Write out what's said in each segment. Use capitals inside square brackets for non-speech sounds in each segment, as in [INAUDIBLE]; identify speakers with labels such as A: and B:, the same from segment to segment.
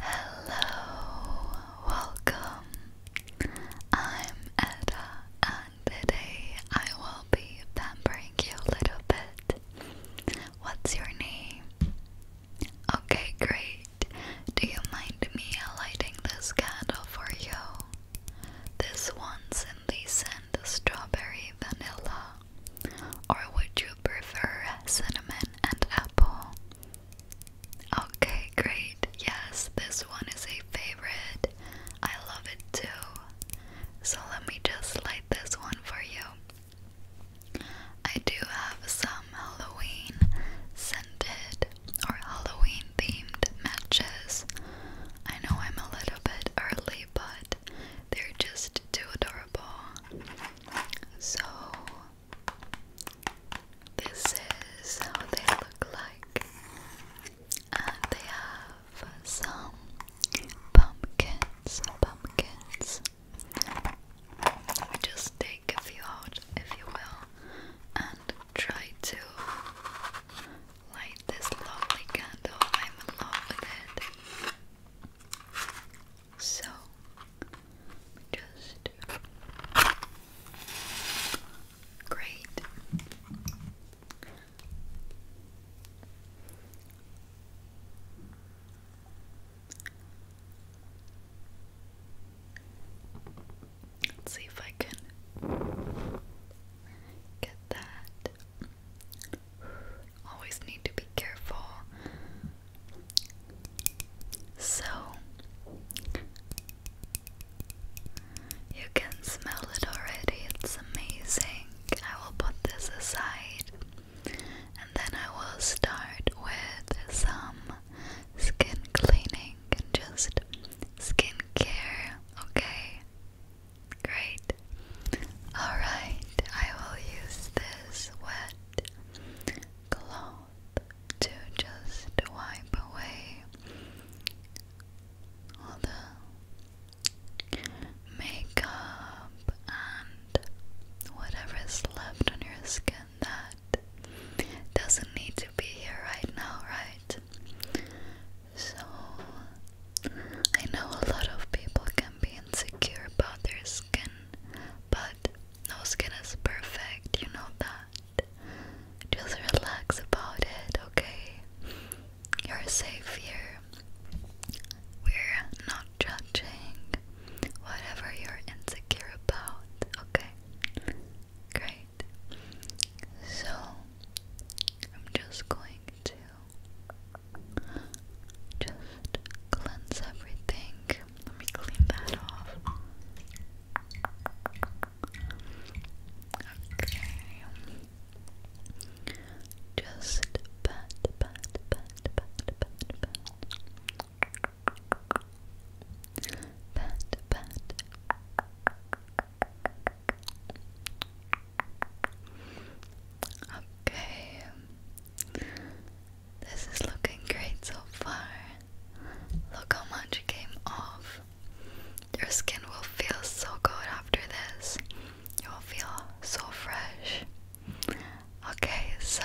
A: Hello, welcome. I'm Edda, and today I will be pampering you a little bit. What's your name? Okay, great. Do you mind me lighting this candle for you? This one's in the scent strawberry vanilla. Or would you prefer cinnamon and apple? Okay, great. Yes, this one is a favorite. I love it too. So let me just light this one for you. I do have some Halloween scented or Halloween themed matches. I know I'm a little bit early, but they're just too adorable. So this is how they look like, and they have some pumpkins. Pumpkins. Just take a few if you will, and try to light this lovely candle. I'm in love with it. So just great. Let's see if I can get that. Always need to be careful so you can smell it already, it's amazing. I will put this aside and then I will start with some skin cleaning and just skin care, okay? Great. Alright, I will use this wet cloth to just wipe away all the makeup and whatever is left on your skin that doesn't need to be here right now, right? So, I know a lot of people can be insecure about their skin but no skin is perfect, you know that. Just relax about it, okay? You're safe here. We're not judging whatever you're insecure about, okay? Great. So, I'm just going to just cleanse everything. Let me clean that off. Okay. Just pat, pat, pat, pat, pat, pat. Pat, pat. Okay. This is looking great so far. Look how much it came off. Your skin will feel so good after this. You will feel so fresh. Okay, so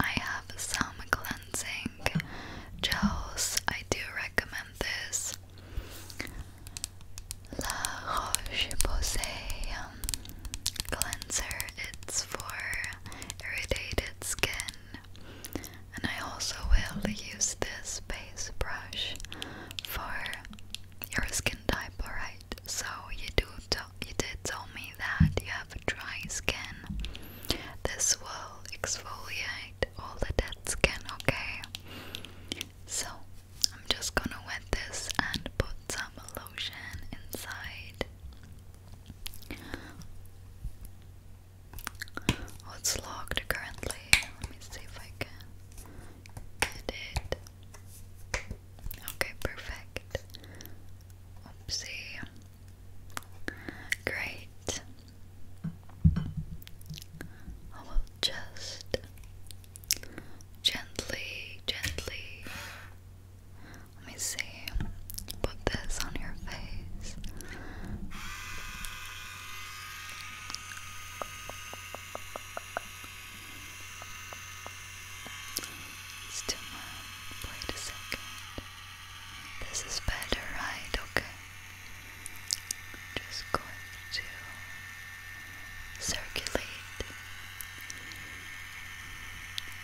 A: I have some cleansing gels. I do recommend this. La Roche Posay um, cleanser. It's for irritated skin. And I also will use this base brush for your skin type, alright? So you do you did tell me that you have dry skin. This will exfoliate all the dead skin, okay? So I'm just gonna wet this and put some inside. Oh, it's locked currently. Let me see if I can get it. Okay, perfect. Oopsie. Great. I will just gently, gently let me see. Put this on your face. It's too Wait a second. This is better, right? Okay. Just going to circulate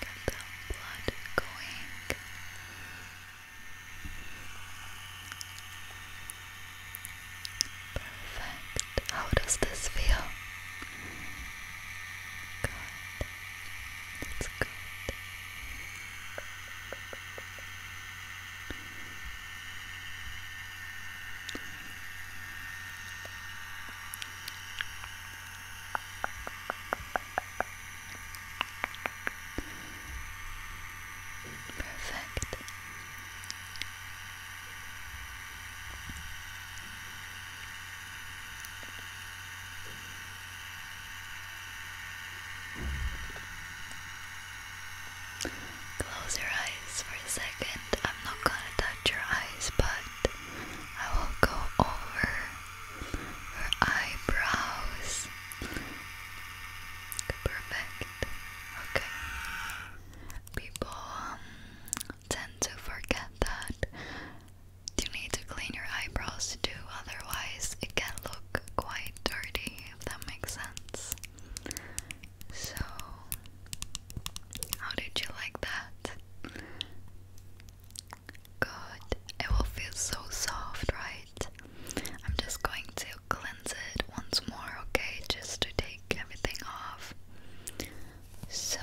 A: Get the blood going. Perfect. How does this feel? That's Good. Perfect. Close your eyes for a second. I'm not gonna touch your eyes, but I will go over your eyebrows. Perfect. Okay. People um, tend to forget that you need to clean your eyebrows too, otherwise, it can look quite dirty, if that makes sense. So, how did you like that? Good. It will feel so soft, right? I'm just going to cleanse it once more, okay? Just to take everything off. So,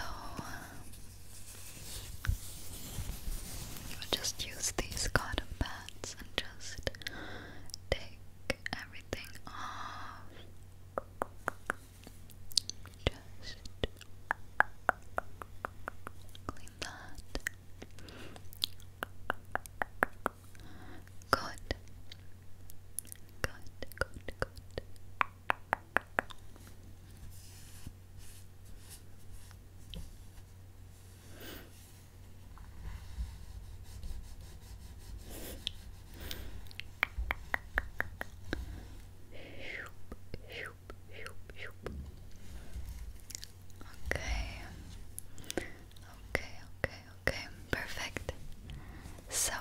A: just use these cotton pads and just take everything off. Just clean that. Good. Good, good, good. Okay. Okay, okay, okay. Perfect. So,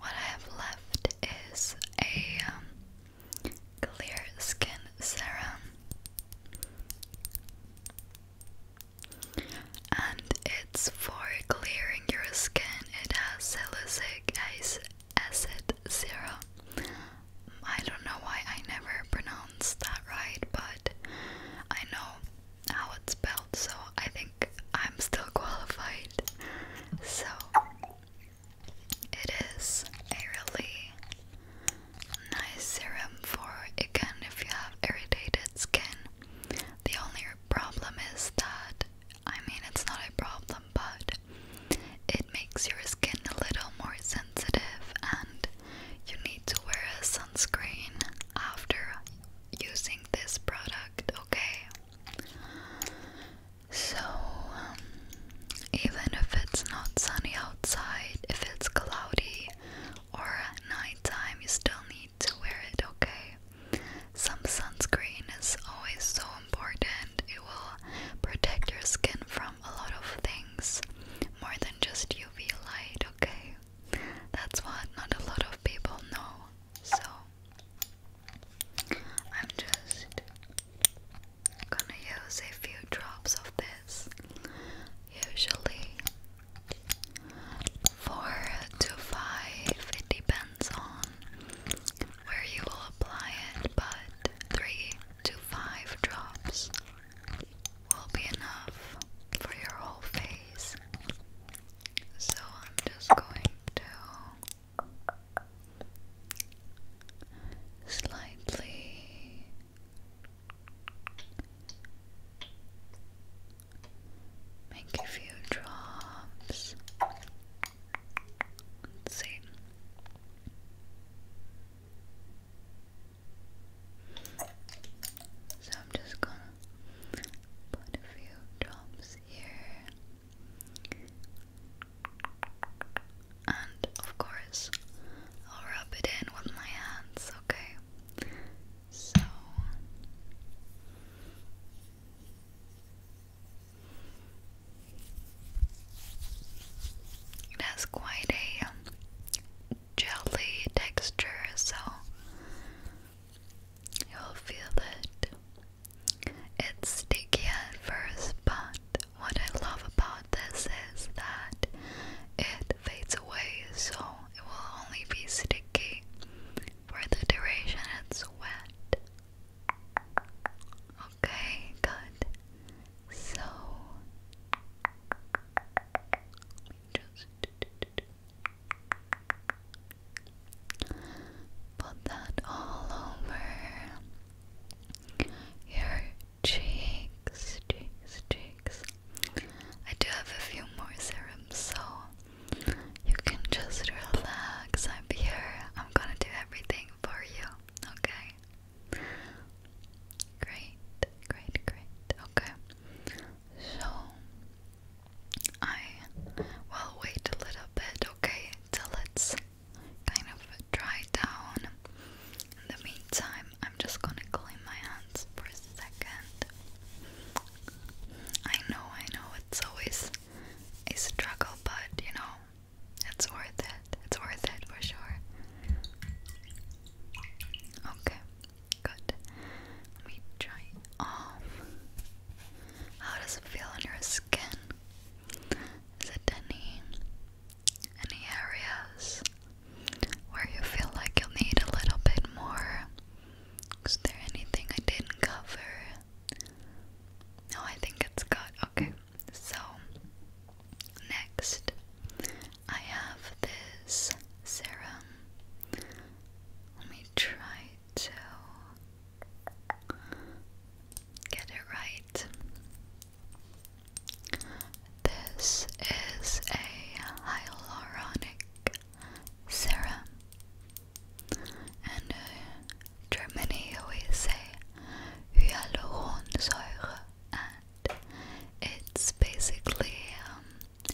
A: what I have left is a um, clear skin serum and it's for clearing your skin. It has salicylic acid serum. I don't know why I never pronounced that right, but I know how it's spelled, so I think I'm still [LAUGHS] qualified. So it is a really nice serum for again if you have irritated skin. The only problem is that I mean it's not a problem but it makes your skin a little more sensitive and you need to wear a sunscreen after using this product, okay? So um, even if it's not sunny outside, if it's cloudy or at nighttime, you still need to wear it, okay? Some sunscreen is always so important. It will protect your skin from a lot of things more than just UV light, okay? That's what not a lot of people know. So, I'm just gonna use a few drops of this. Usually, Four to five, it depends on where you will apply it, but three to five drops will be enough for your whole face. So I'm just going to slightly Make a few drops. Let's see. So I'm just gonna put a few drops here. And of course, I'll rub it in with my hands, okay? So it has quite a um, jelly texture, so you'll feel it. It's sticky at first, but what I love about this is that it fades away, so it will only be sticky for the duration it's wet. Okay, good. So just put that all over your cheeks, cheeks, cheeks. I do have a few more serums, so you can just relax. I'm here. I'm gonna do everything for you. Okay? Great, great, great. Okay. So, I will wait a little bit, okay? Till it's kind of dry down. In the meantime, I'm just gonna clean my hands for a second. I know, I know, it's always a struggle, but you know, it's worth it. It's worth it for sure. Okay, good. Let me try off. How does it feel on your skin? Is it any any areas where you feel like you need a little bit more is there anything I didn't cover? No, I think it's good. Okay, so next I have this serum. Let me try to get it right. This is a hyaluronic Serum, And uh, Germany always say hyaluronsäure, and it's basically um,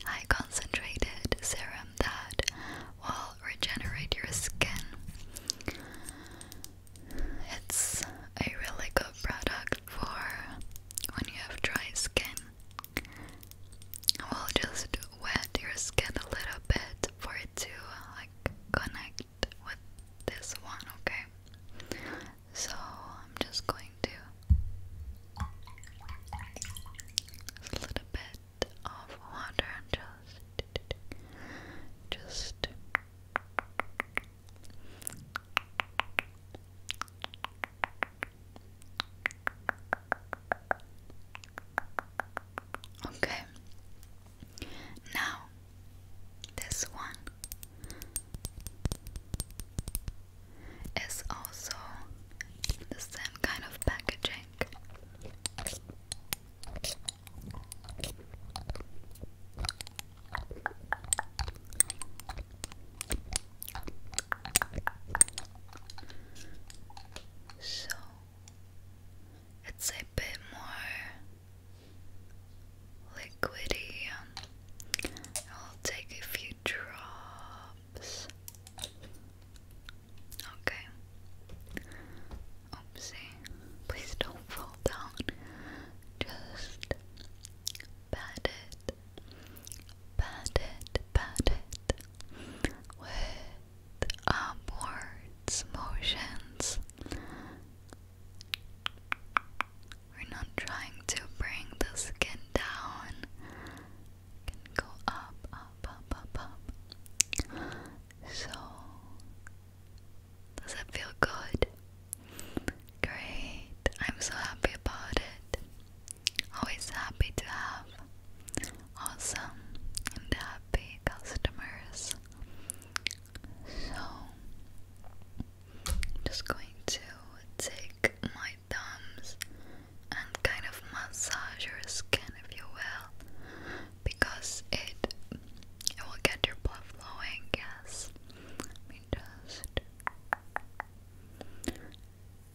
A: high concentrated serum that will regenerate your skin. It's a really good product for when you have dry skin We'll just wet your skin a little bit for it to like connect with this one, okay? So I'm just going to a little bit of water and just just Okay. Now, this one is also the same kind of packaging. So it's a bit more liquidy. I'll take a few drops. Okay. Oopsie. Please don't fall down. Just pat it, pat it, pat it with upwards motions. We're not trying to bring the skin down. can go up, up, up, up, up. So, does it feel good? Great. I'm so happy about it. Always happy to have awesome and happy customers. So, I'm just going to take my thumbs and kind of massage your skin, if you will, because it it will get your blood flowing. Yes, let just.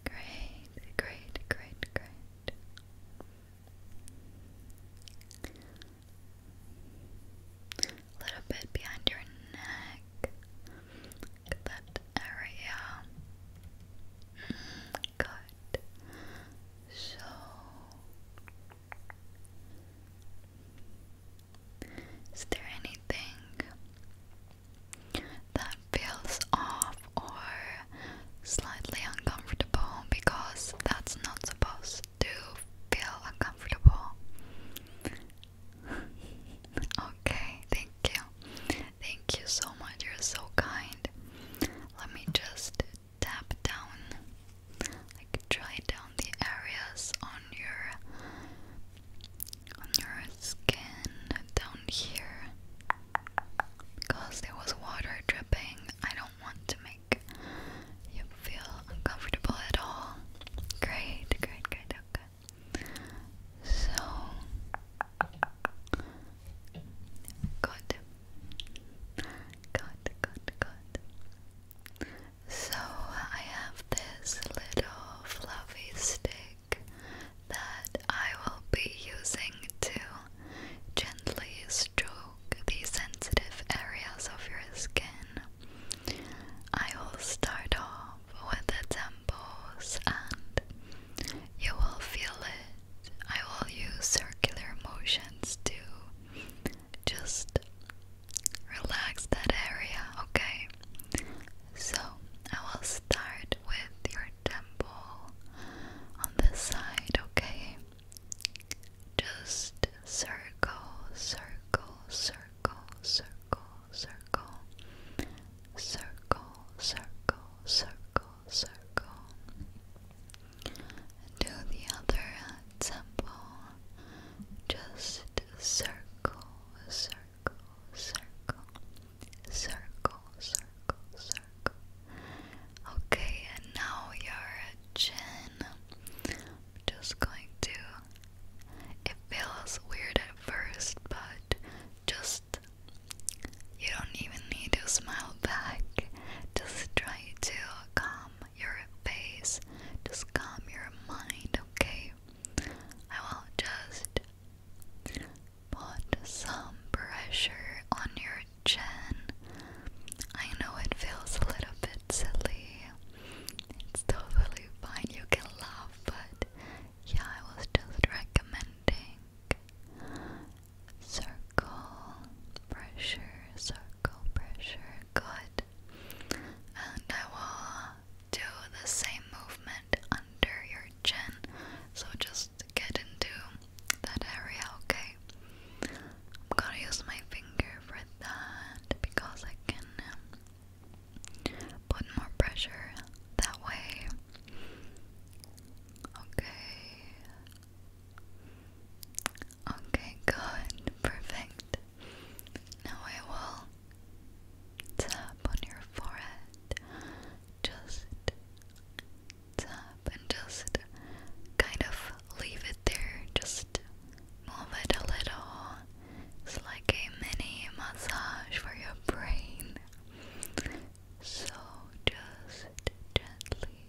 A: Great, great, great, great. A little bit behind your neck. that area. Mm, good. So is there anything that feels off or slightly uncomfortable because that's not supposed to feel uncomfortable. [LAUGHS] okay, thank you. Thank you so much. You're so kind. Let me just tap down, like, dry down the areas on your on your skin down here because there was water dripping. I don't want to make you feel uncomfortable at all. Great, great, great, okay. So good. Good, good, good. So I have this little fluffy stick that I will be using to gently stroke the sensitive areas of your skin. I will start off with the temples and you will feel it. I will use circular motions to just relax that area, okay? So I will start with your temple on this side, okay? Just circle, circle, circle, circle, circle, circle, circle, circle, circle. And to the other temple, just circle, circle circle, circle, circle, circle. Okay, and now your chin. I'm just going to. It feels weird at first, but just. You don't even need to smile back. Just try to calm your face. Just calm your mind, okay? I will just put some pressure on your chin. I know it feels a little bit silly. It's totally fine. You can laugh, but yeah, I was just recommending circle pressure, circle pressure. Good. And I will do the same movement under your chin. So just get into that area, okay? I'm gonna use my finger for that because I can um, put more pressure that way. Okay. Okay, good. Perfect. Now I will tap on your forehead. Just tap and just kind of leave it there. Just move it a little. like a mini massage for your brain. So just gently.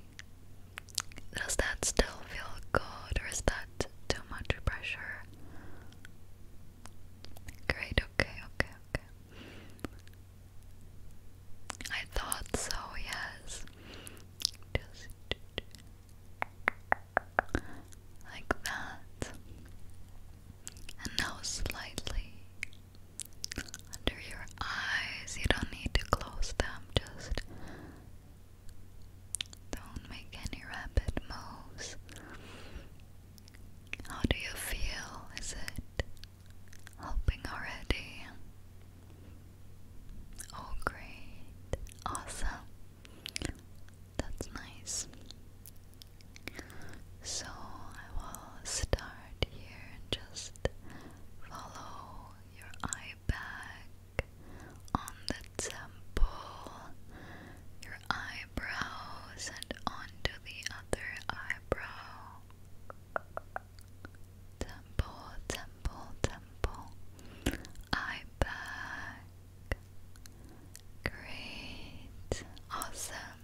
A: Does that still feel good or is that? that too much pressure. Great, okay, okay, okay. I thought so, yes. Just like that. And now slightly under your eyes. You don't need to close them, just don't make any rapid moves. How do you feel? Is it helping already? Oh, great. Awesome. That's nice. So I will start here and just follow your eye back on the temple, eyebrows and onto the other eyebrow. Temple, temple, temple. Eye Great. Awesome.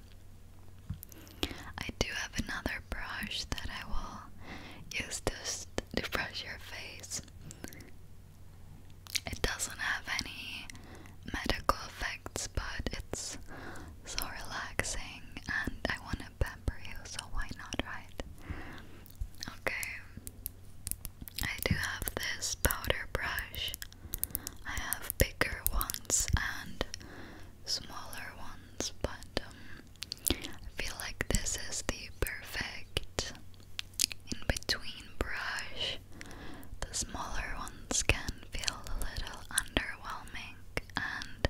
A: I do have another brush that I will use to, to brush your face. It doesn't have any medical effects, but it's so relaxing and I want to pamper you, so why not, right? Okay, I do have this powder brush. I have bigger ones and smaller ones, but um, I feel like this is the perfect in between brush, the smaller ones can feel a little underwhelming, and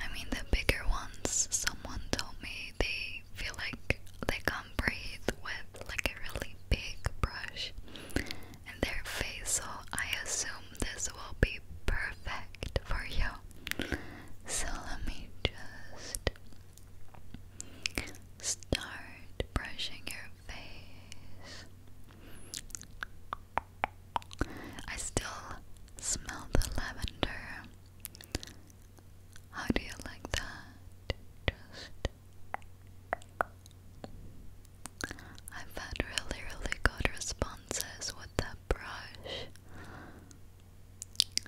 A: I mean, the bigger ones, someone told me they feel like they can't breathe with like a really big brush in their face, so I assume this will be perfect for you. So let me just Start brushing your face. I still smell the lavender. How do you like that? Just. I've had really, really good responses with that brush.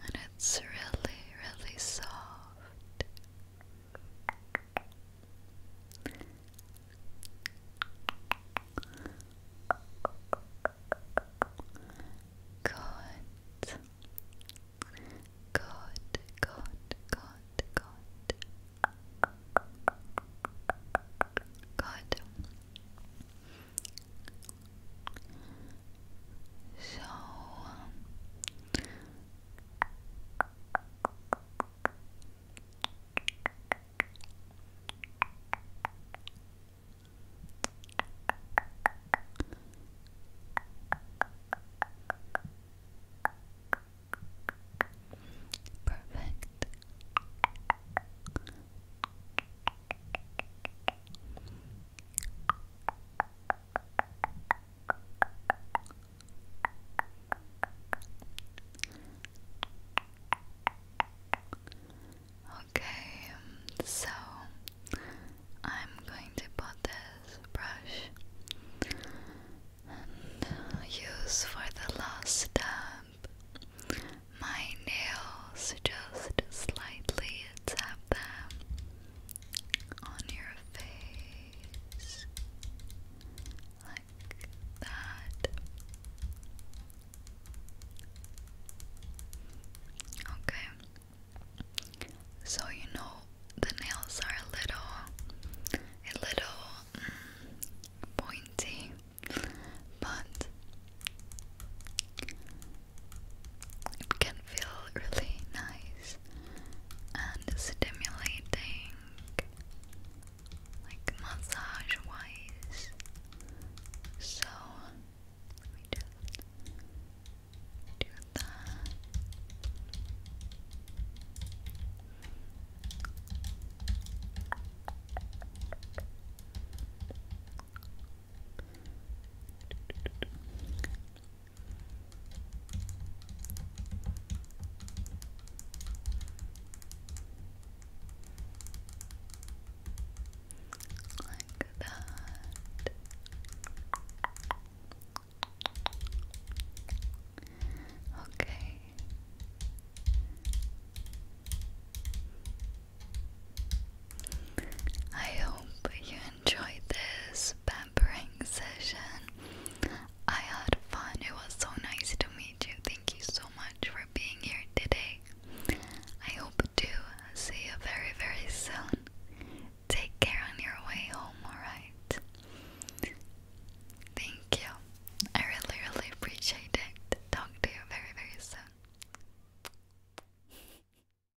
A: And it's really, really soft. God. Good, good, good, good. Good. So, Perfect. Okay, so I'm going to put this brush use for the last step my nails just slightly tap them on your face like that. Okay. So you know the nails are a little a little mm, pointy, but it can feel really nice and stimulating, like massage wise. So, let just do that. Like that. Okay. I hope you enjoyed this pampering session. I had fun. It was so nice to meet you. Thank you so much for being here today. I hope to see you very, very soon. Take care on your way home, alright? Thank you. I really, really appreciate it. Talk to you very, very soon.